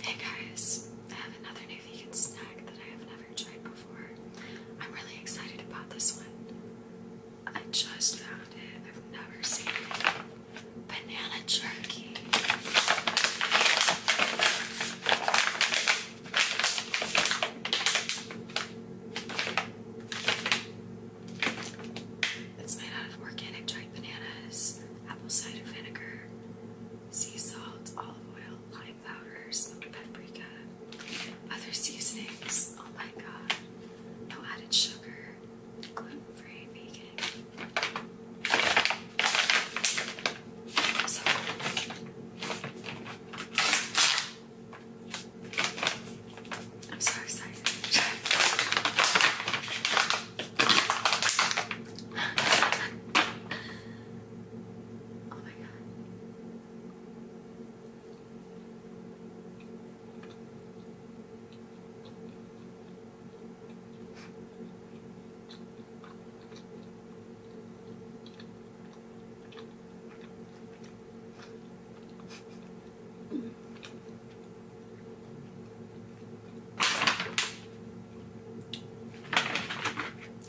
Hey guys, I have another vegan snack that I have never tried before. I'm really excited about this one. I just found it, I've never seen it. Banana jerky. It's made out of organic dried bananas, apple cider vinegar, sea salt, olive oil, lime powder, smoked paprika, other seasonings. Oh my god. No added sugar, gluten-free, vegan. So, I'm so excited. oh my god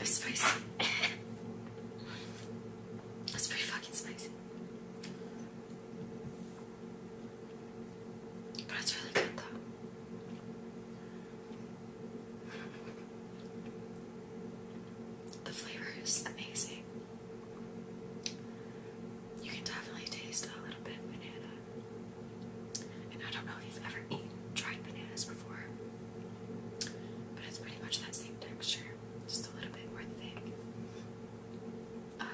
spicy. That's pretty fucking spicy. But it's really good though. The flavor is amazing. You can definitely taste a little bit banana. And I don't know if you've ever eaten, tried bananas before, but it's pretty much that same texture, just a little bit more thick. Um,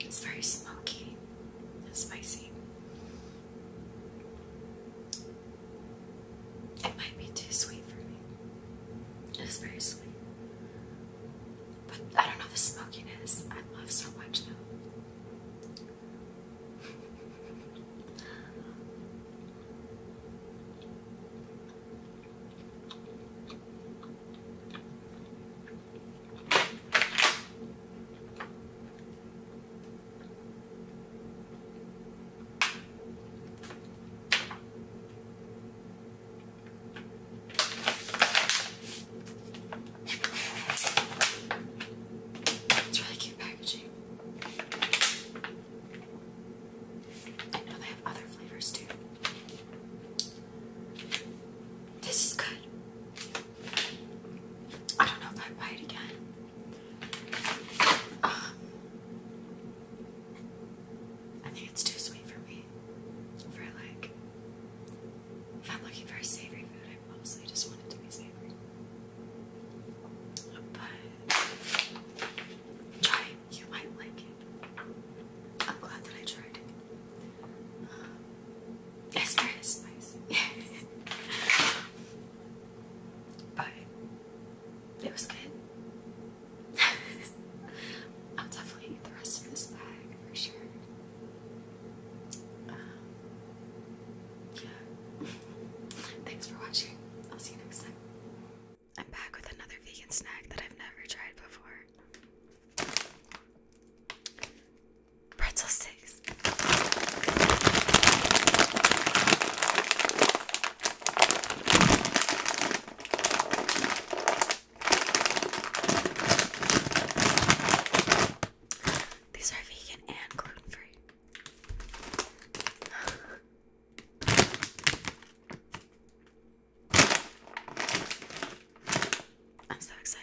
It's very smoky and spicy. It might be too sweet for me. It's very sweet. But I don't know the smokiness I love so much though. It's really cute packaging. I know they have other flavors too. This is good. I don't know if I'd buy it again. Um, I think it's too sweet for me. For like, if I'm looking for savory food, I mostly just want it to be savory. But try You might like it. I'm glad that I tried it. Um, Yes, there is spice. it was good. I'll definitely eat the rest of this bag for sure. Um, yeah. Thanks for watching. I'll see you next time. I'm back with another vegan snack that I've never tried before. Pretzel sticks. These are vegan and gluten free. I'm so excited.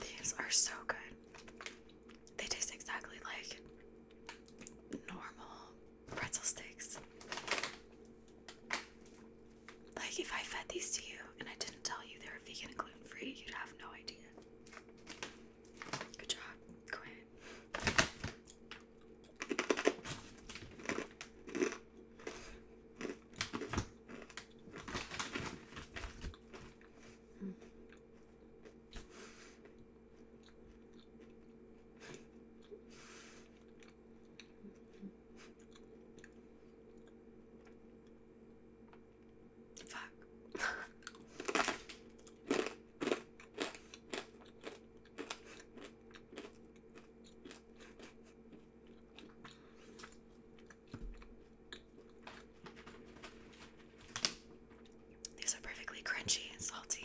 These are so good. They taste exactly like normal pretzel sticks. Like, if I fed these to you and I didn't tell you they were vegan and gluten free, you'd have no idea. Good job, Quinn. Mm. Fuck. These are perfectly crunchy and salty.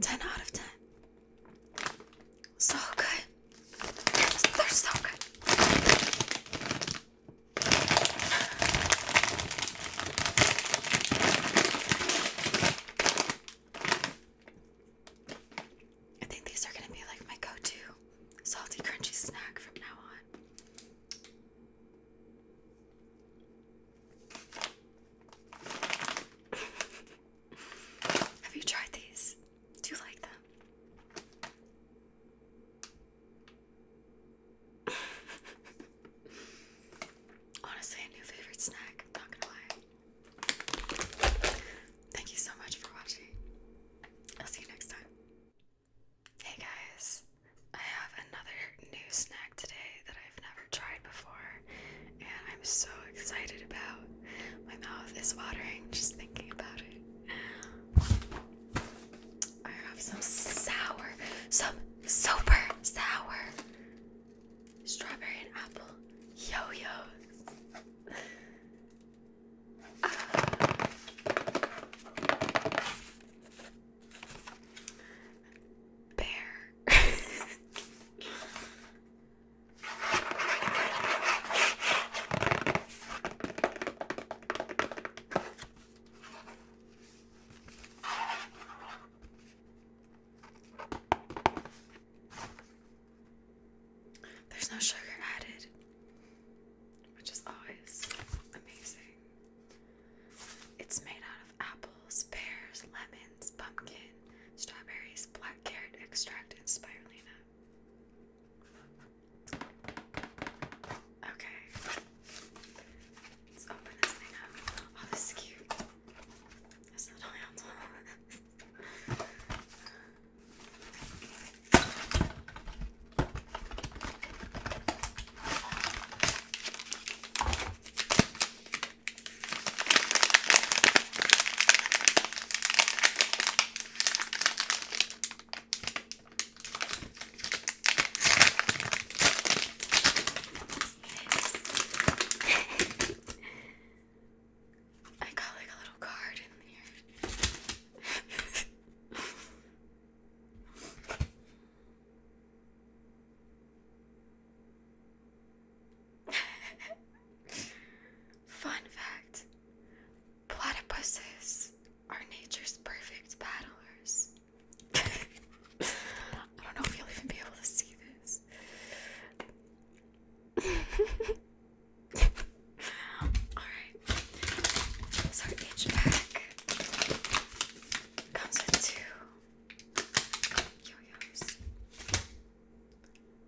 10 out of 10. So good. They're so good. I think these are going to be like my go to salty crunchy snack from now on. Have you tried these? Do you like them? Honestly, a new favorite snack, not gonna lie. Thank you so much for watching. I'll see you next time. Hey guys, I have another new snack today that I've never tried before, and I'm so excited about. My mouth is watering just thinking about it. I have some sour, some super sour strawberry and apple yo-yos. Bear. There's no sugar added which is always amazing. It's made out of apples, pears, lemons, pumpkin, strawberries, black carrot extract, and spirulina. Okay, let's open this thing up. Oh, this is cute. This little handle. I got like a little card in here. Fun fact platypuses are nature's perfect paddlers. I don't know if you'll even be able to see this. Alright. So each pack comes with two yo-yos.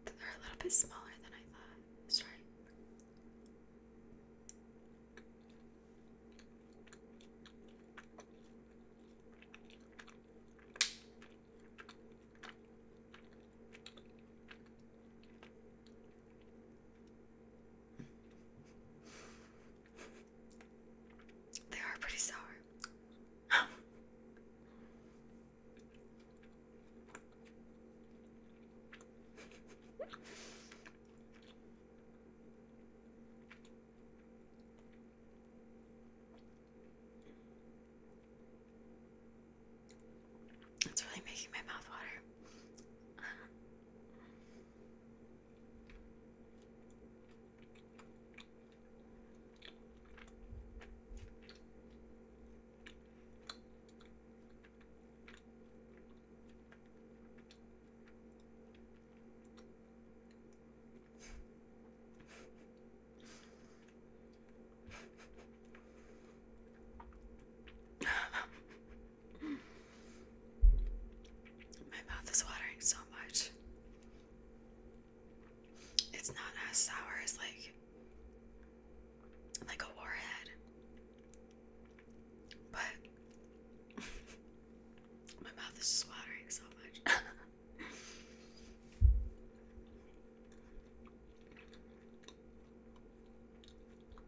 They're a little bit smaller than I thought. That's they are pretty sour. It's really making my mouth water. My mouth is watering so much. It's not as sour as like like a warhead. But my mouth is watering so much.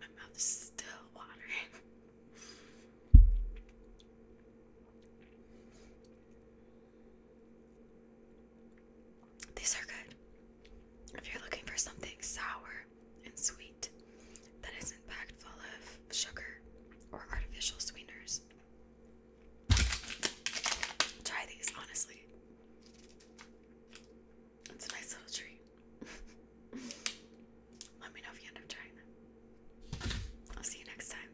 My mouth is still watering. These are good. If you're looking for something sour and sweet that isn't packed full of sugar or artificial sweeteners, Try these, honestly. It's a nice little treat. Let me know if you end up trying them. I'll see you next time.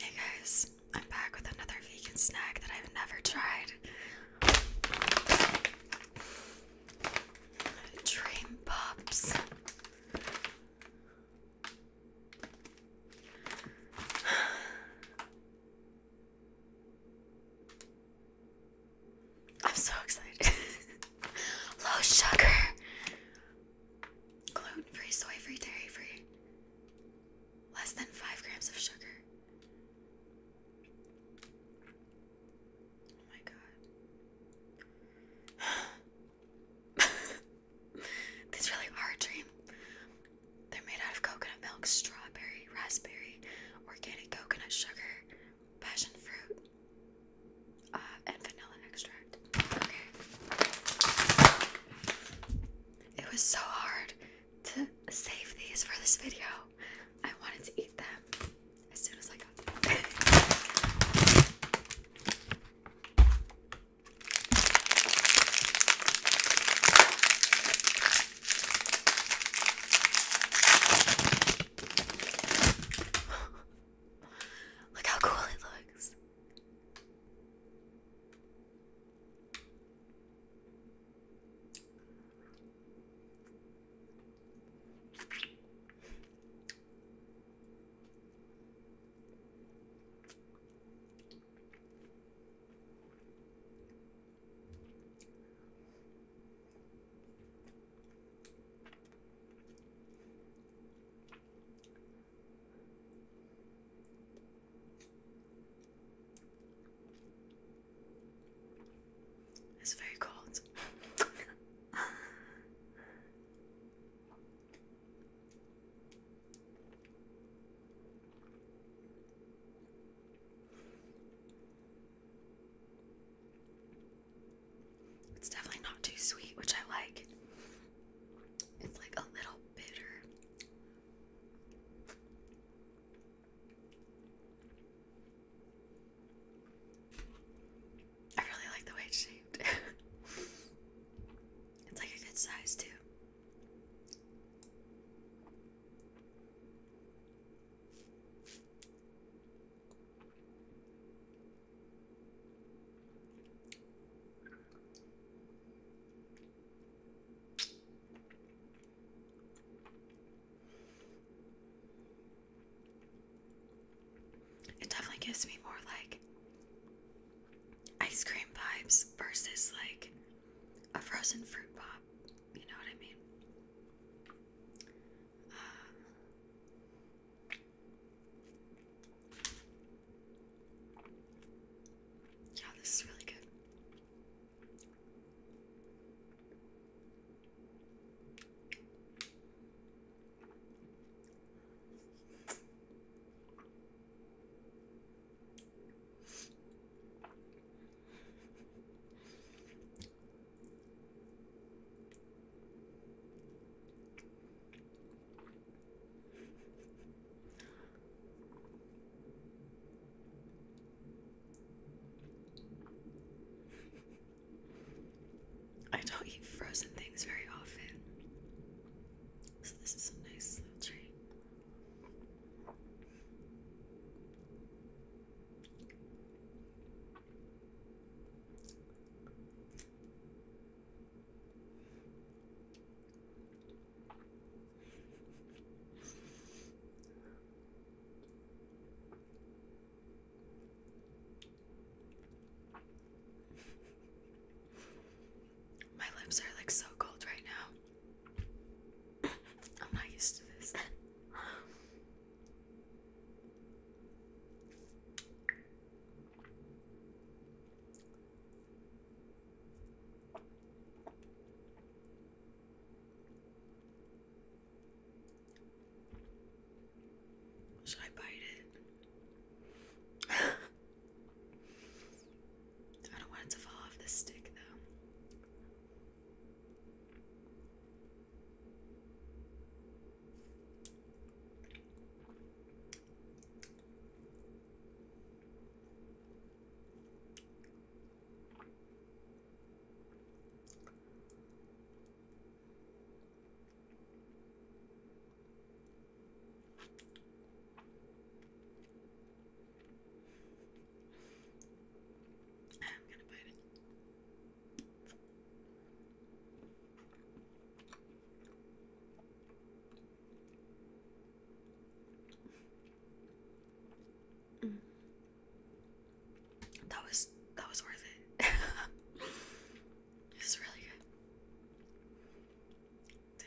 Hey guys, I'm back with another vegan snack that I've never tried. Dream Pops. I'm so excited. Low sugar, gluten free, soy free, dairy free, less than five grams of sugar. Oh my god. these really are a dream. They're made out of coconut milk, strawberry, raspberry, organic coconut sugar, passion fruit, uh, and vanilla extract. Okay. It was so hard to save these for this video. I wanted to eat them as soon as I got them. Look how cool it looks. It's very cold. It's definitely not too sweet, which I like. It's like a little bitter. I really like the way it's shaped. It's like a good size too. It definitely gives me more like ice cream vibes versus like a frozen fruit pop. You know what I mean? Uh, yeah, this is really good. I don't eat frozen things very often. So this is a nice little tree. My lips are like so cold right now. I'm not used to this. Should I bite it? I don't want it to fall off the stick though. Mm. That was that was worth it. This is really good. Damn.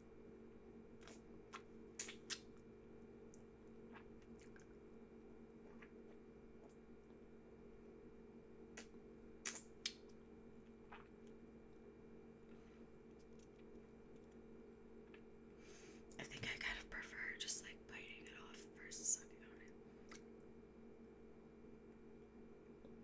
I think I kind of prefer just like biting it off versus sucking on it.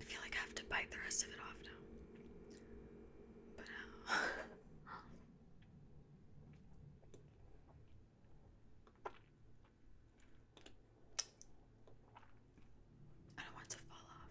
I feel like I have to bite the rest of it off now. But uh, I don't want to fall off.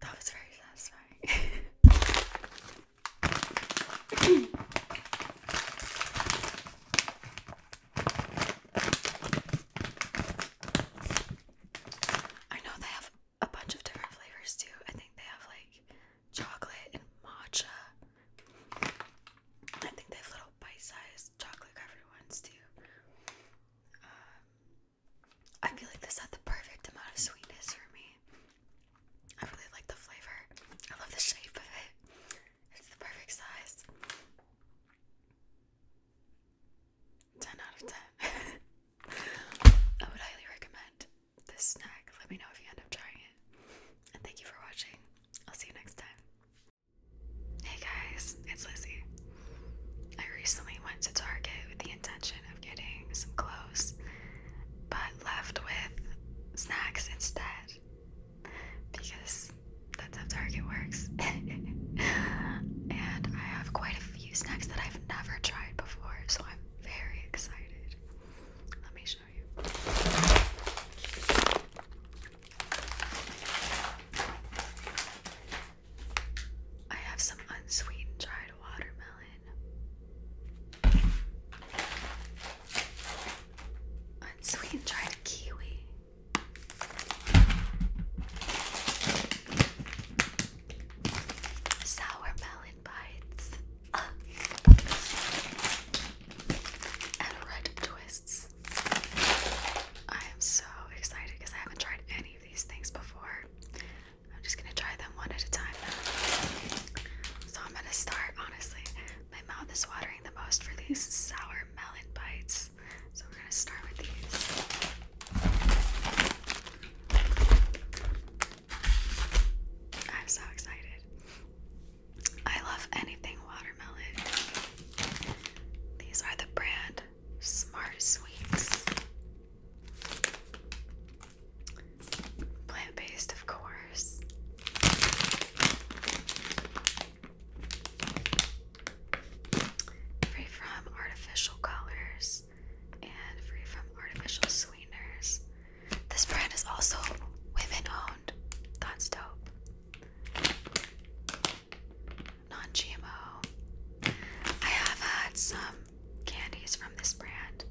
That was very satisfying. I know they have a bunch of different flavors too. I think they have like chocolate and matcha. I think they have little bite-sized chocolate covered ones too. Um, I feel like this had the perfect amount of sweetness for me. I really like the flavor. I love the shape of it. It's the perfect size. 10 out of 10. I would highly recommend this snack. Let me know if you end up trying it. And thank you for watching. I'll see you next time. Hey guys, it's Lizzie. I recently went to Target with the intention of getting some clothes, but left with snacks instead. Because that's how Target works. and I have quite a few snacks that I've never tried before, so I'm very excited. Let me show I have some unsweetened dried watermelon, unsweetened dried kiwi. Sour bites red twists. I am so excited because I haven't tried any of these things before. I'm just gonna try them one at a time now. So I'm gonna start, honestly. My mouth is watering the most for these sour melon bites. So we're gonna start with these. I'm so excited. I love anything watermelon. These are the brand Smart Sweets. Plant based, of course. Free from artificial colors and free from artificial sweeteners. This brand is also women owned. That's dope. Non GMO. I have had some candies from this brand.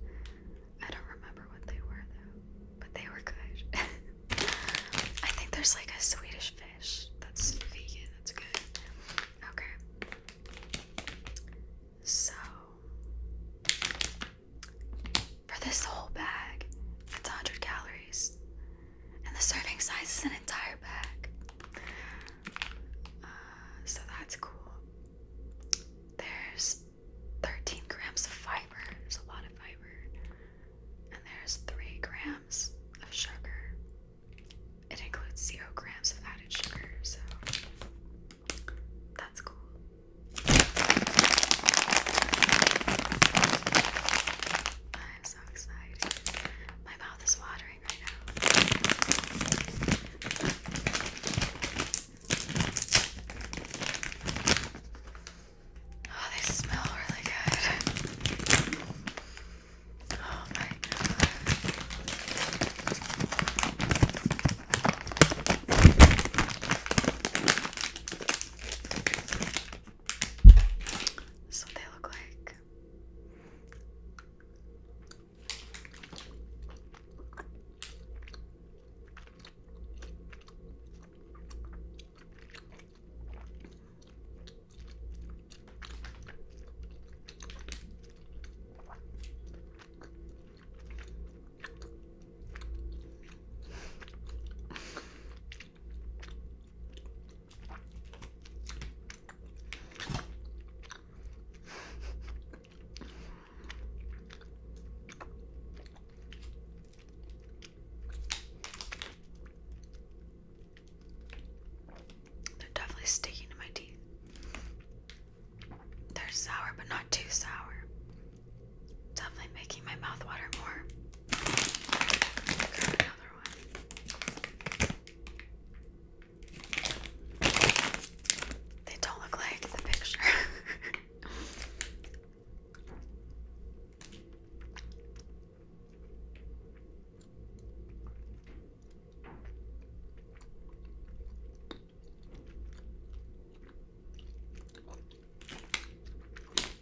I don't remember what they were though, but they were good. I think there's like a Swedish fish that's vegan. That's good. Okay. So for this whole bag, it's 100 calories, and the serving size is an entire bag. Uh, so that's cool. There's 13 grams of fiber, there's a lot of fiber, and there's 3 grams of sugar. It includes 0 grams of added sugar, so that's cool. I'm so excited. My mouth is watering right now. Oh, they smell really good. Oh my god. This what they look like. They're definitely sticking to my teeth. They're sour, but not too sour. Definitely making my mouth water more. They don't look like the picture.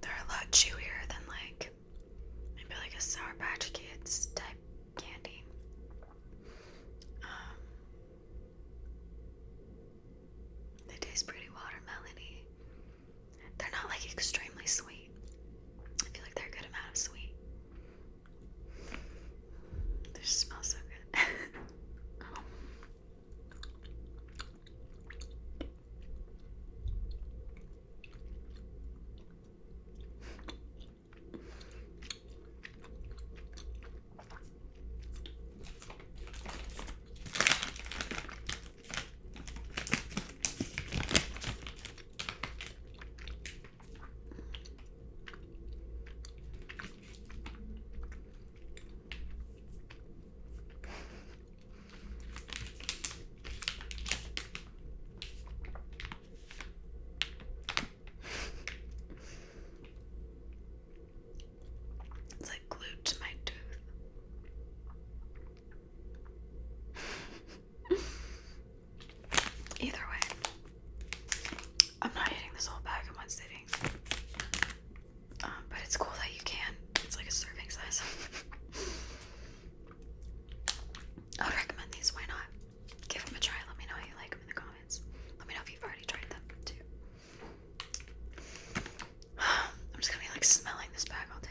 They're a lot chewier than like maybe like a Sour Patch Kids type candy. Um, they taste pretty watermelony. They're not like extremely sweet. I feel like they're a good amount of sweet. This smells so good. Oh. It's like glued to my tooth. Either way, I'm not eating this whole bag in one sitting. but it's cool that you can. It's like a serving size. I would recommend these. Why not? Give them a try. Let me know how you like them in the comments. Let me know if you've already tried them too. I'm just gonna be like smelling this bag all day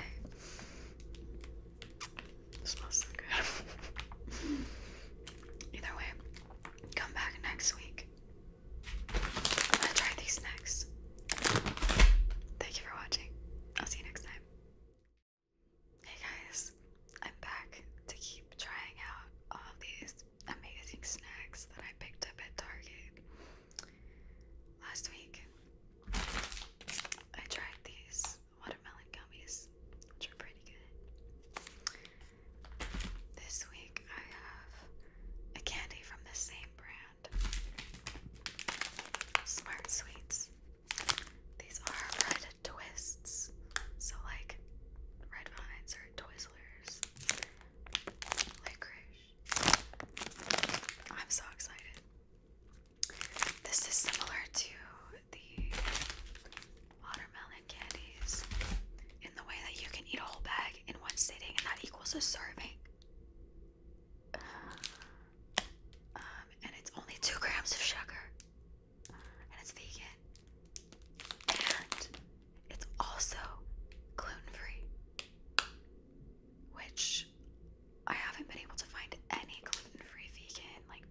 smells so good. Either way, come back next week. I'm these next. Thank you for watching. I'll see you next time. Hey guys, I'm back to keep trying out all these amazing snacks that I picked up at Target. Last week, I tried these watermelon gummies, which are pretty good. This week I have a candy from the same brand, Smart Sweets. These are red twists, so like red vines or Twizzlers, licorice. I'm so excited. This is similar to the watermelon candies in the way that you can eat a whole bag in one sitting, and that equals a serving. um, and it's only two grams of sugar, and it's vegan, and it's also gluten free, which I haven't been able to find any gluten free vegan like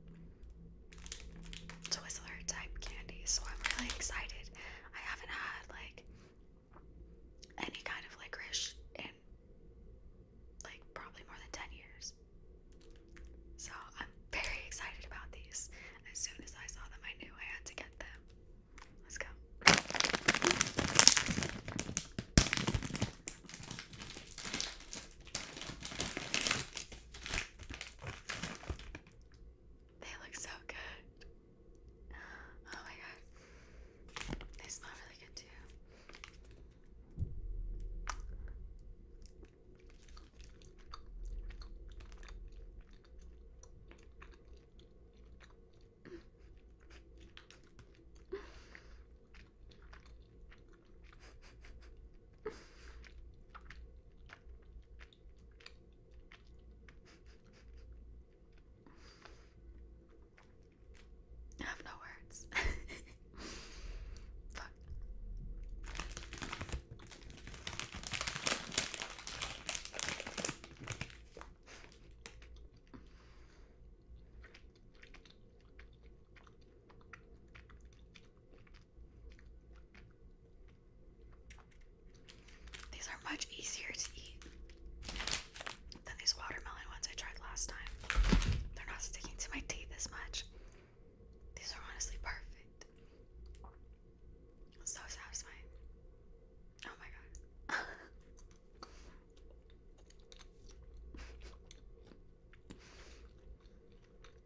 Twizzler type candy, so I'm really excited. I haven't had like any kind of licorice in like probably more than 10 years. So I'm very excited about these. As soon as I saw them, I knew I had to get them. Let's go. They look so good. Oh my god. They smell really good too. I have no words. Fuck. These are much easier to eat than these watermelon ones I tried last time. They're not sticking to my teeth as much. These are honestly perfect. So satisfying. Oh my god.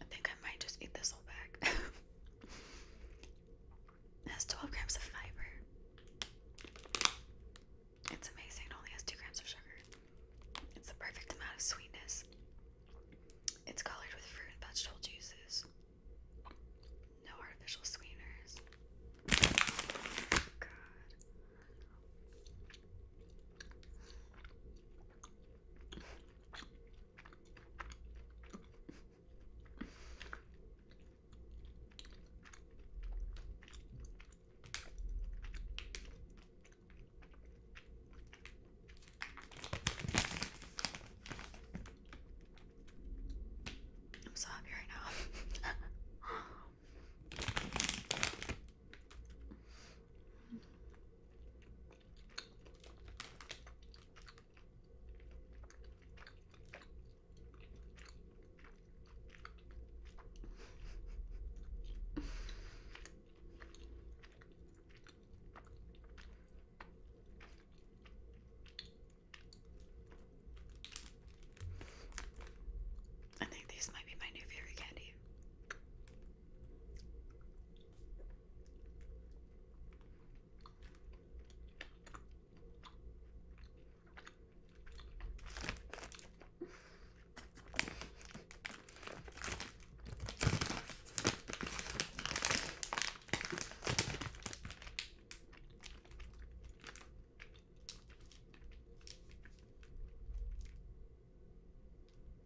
I think I might just eat this whole bag. it has 12 grams of fiber. It's amazing. It only has 2 grams of sugar. It's the perfect amount of sweetness. It's colored with fruit and vegetable juices. No artificial sweeteners. I'm so happy right now. I think these might be my new favorite candy.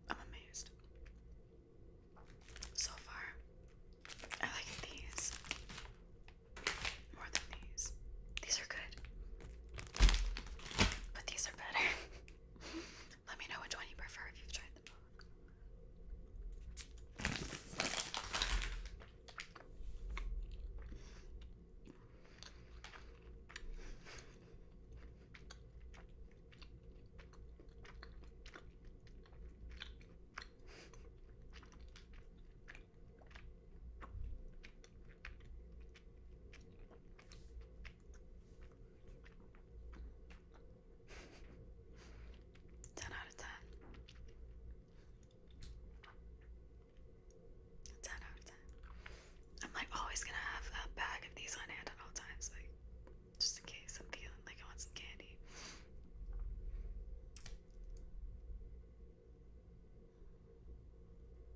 I'm amazed so far. I like these more than these. These are good, but these are better. Let me know which one you prefer if you've tried them Ten out of ten. Ten out of ten. I'm like always gonna have a bag of these on hand at all times, like just in case I'm feeling like I want some candy.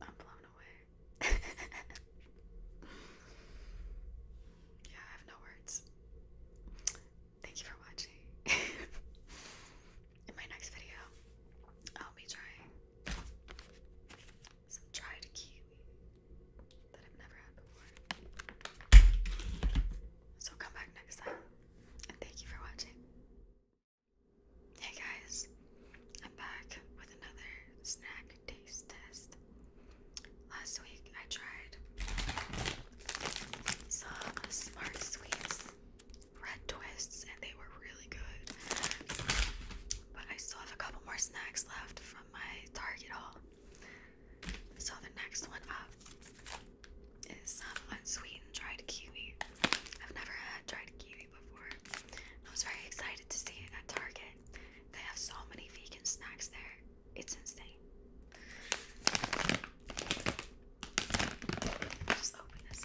I'm blown away. yeah, I have no words. Thank you for watching. in my next video, I'll be trying some dried kiwi. So come back next time, and thank you for watching. Hey guys, I'm back with another snack taste test. Last week I tried some Smart Sweets red twists, and they were really good. But I still have a couple more snacks left from my Target haul. So the next one up is some unsweetened dried kiwi. I've never had dried kiwi before. I was very excited to see it at Target. They have so many vegan snacks there. It's insane. just open this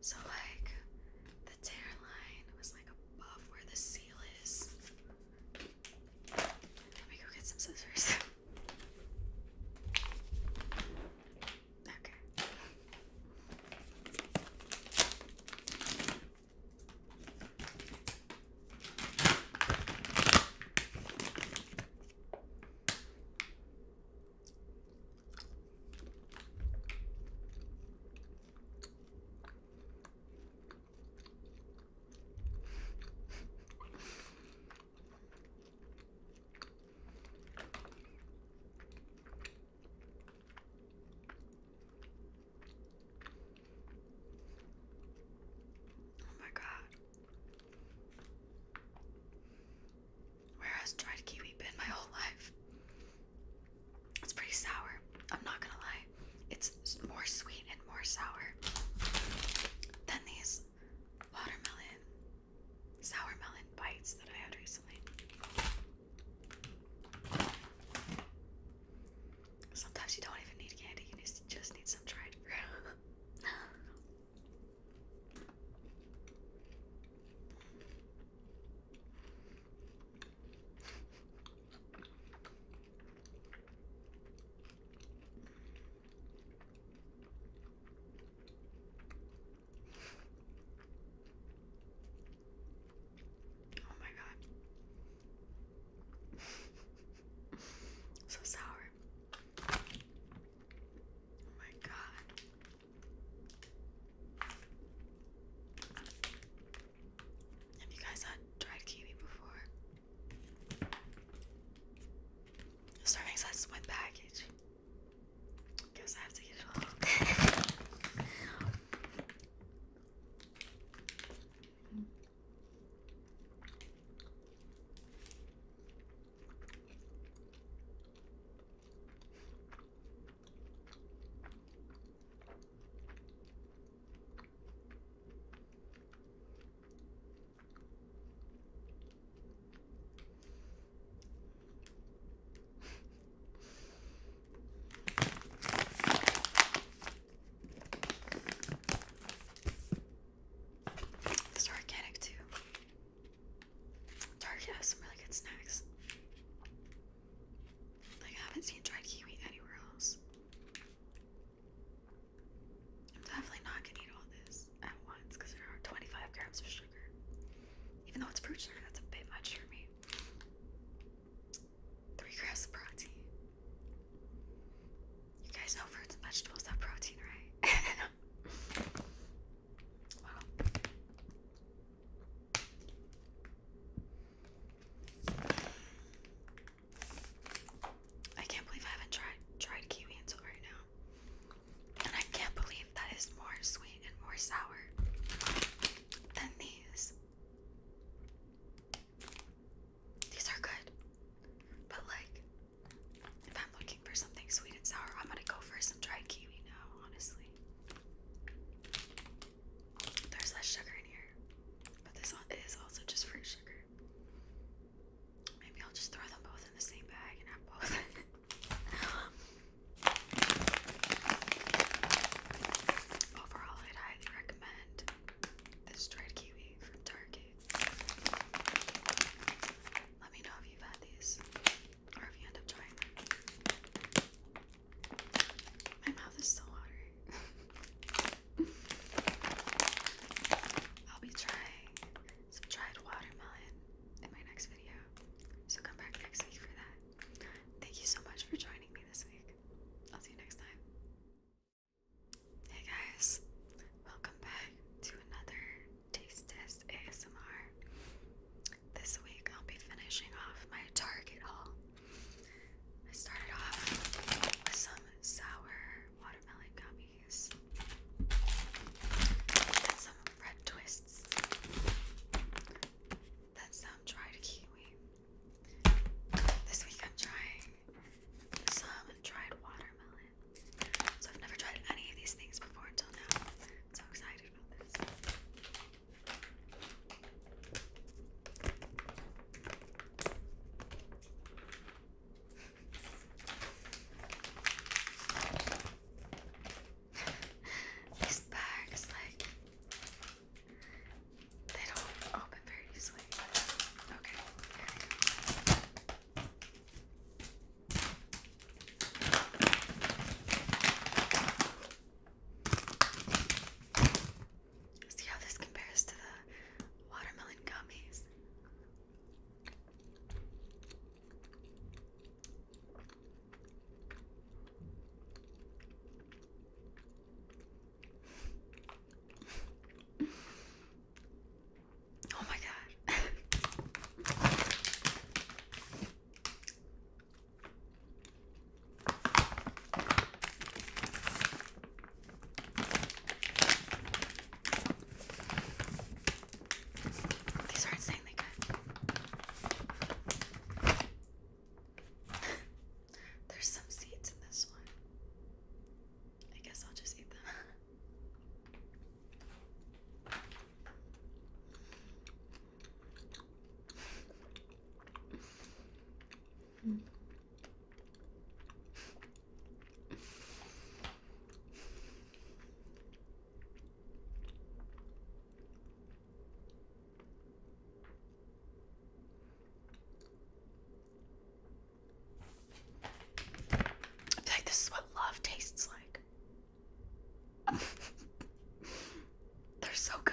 So like the tear line was like above where the seal is. Let me go get some scissors. okay. Oh my god. Where has dried kiwi been my whole life? It's pretty sour. I'm not gonna lie. It's more sweet and more sour than these watermelon, sour bites that I had recently. Sometimes you don't even need candy, you just need some dried fruit. Oh my god. so sour. Oh my god. Have you guys had kiwi before? This makes sense one Guess I have to get it all. It's too. Target has some really good snacks. Like, I haven't seen dried kiwi anywhere else. I'm definitely not gonna eat all this at once because there are 25 grams of sugar. Even though it's fruit sugar, that's a bit much for me. Three grams of protein. You guys know fruits and vegetables have protein, right? wow. I can't believe I haven't tried tried kiwi until right now. And I can't believe that is more sweet and more sour than these. These are good. But like if I'm looking for something sweet and sour, I'm gonna go for some dried kiwi now, honestly. There's less sugar in here, but this is also just fruit sugar. Maybe I'll just throw them both in the same bag and have both. Overall, I'd highly recommend this dried kiwi from Target. Let me know if you've had these or if you end up trying my mouth is so watery. I'll be trying some dried watermelon in my next video. So come back next week for that. Thank you so much for joining me this week. I'll see you next time. Hey guys, welcome back to another Taste Test ASMR. This week I'll be finishing off my Target haul. I started off with some sour watermelon gummies some red twists. That's some dried kiwi. This week I'm trying some dried watermelon. So I've never tried any of these things before until now. so excited about this. These bags, like, they don't open very easily. Okay, there we go. See how this compares to the watermelon gummies. oh my god. These are insanely good. There's some seeds in this one. I guess I'll just eat them. I feel like this is what love tastes like. They're so good.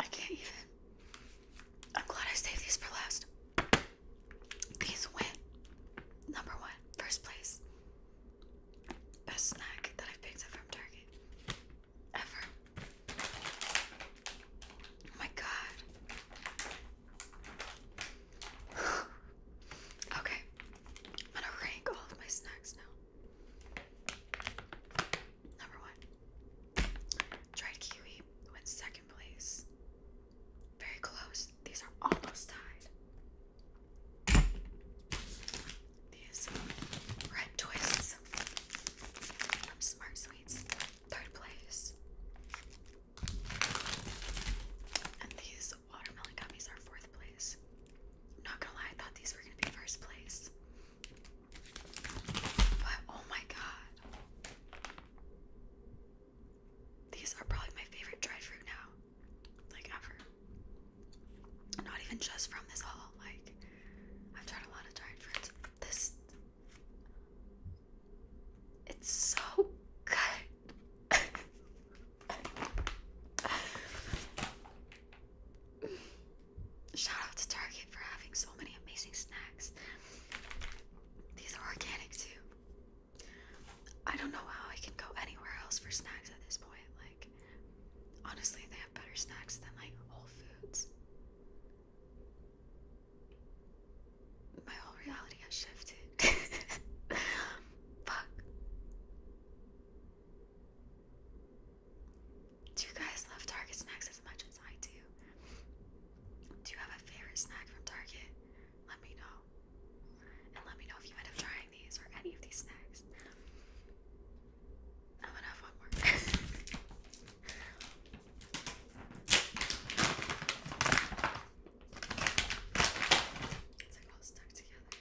I can't even. I'm glad I saved these for last. These went number one, first place best snack that i picked up from Target ever. Oh my god. okay, I'm gonna rank all of my snacks now. Number one, dried kiwi went second place. Very close. These are almost tied. These um, red twists Smart Sweets, third place. And these watermelon gummies are fourth place. not gonna lie, I thought these were gonna be first place. But oh my god. These are probably my favorite dried fruit now. Like ever. Not even just from this haul. Like, I've tried a lot of dried fruits. This. It's so good. Shout out to Target for having so many amazing snacks. These are organic too. I don't know how I can go anywhere else for snacks at this point. Like, Honestly, they have better snacks than like Whole Foods. My whole reality has shifted. Fuck. Do you guys love Target snacks as much as I do? Do you have a favorite snack from Target? Let me know. And let me know if you end up trying these or any of these snacks. I'm gonna have one more. it's like all stuck together.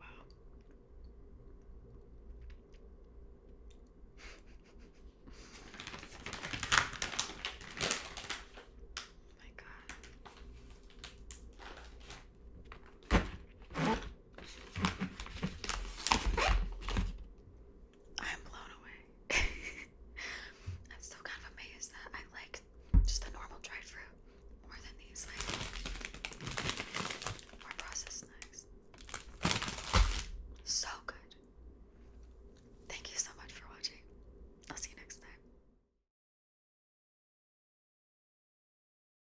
Wow. My God. I'm blown away. I'm still kind of amazed that I like just the normal dried fruit more than these like more processed snacks. So good. Thank you so much for watching. I'll see you next time.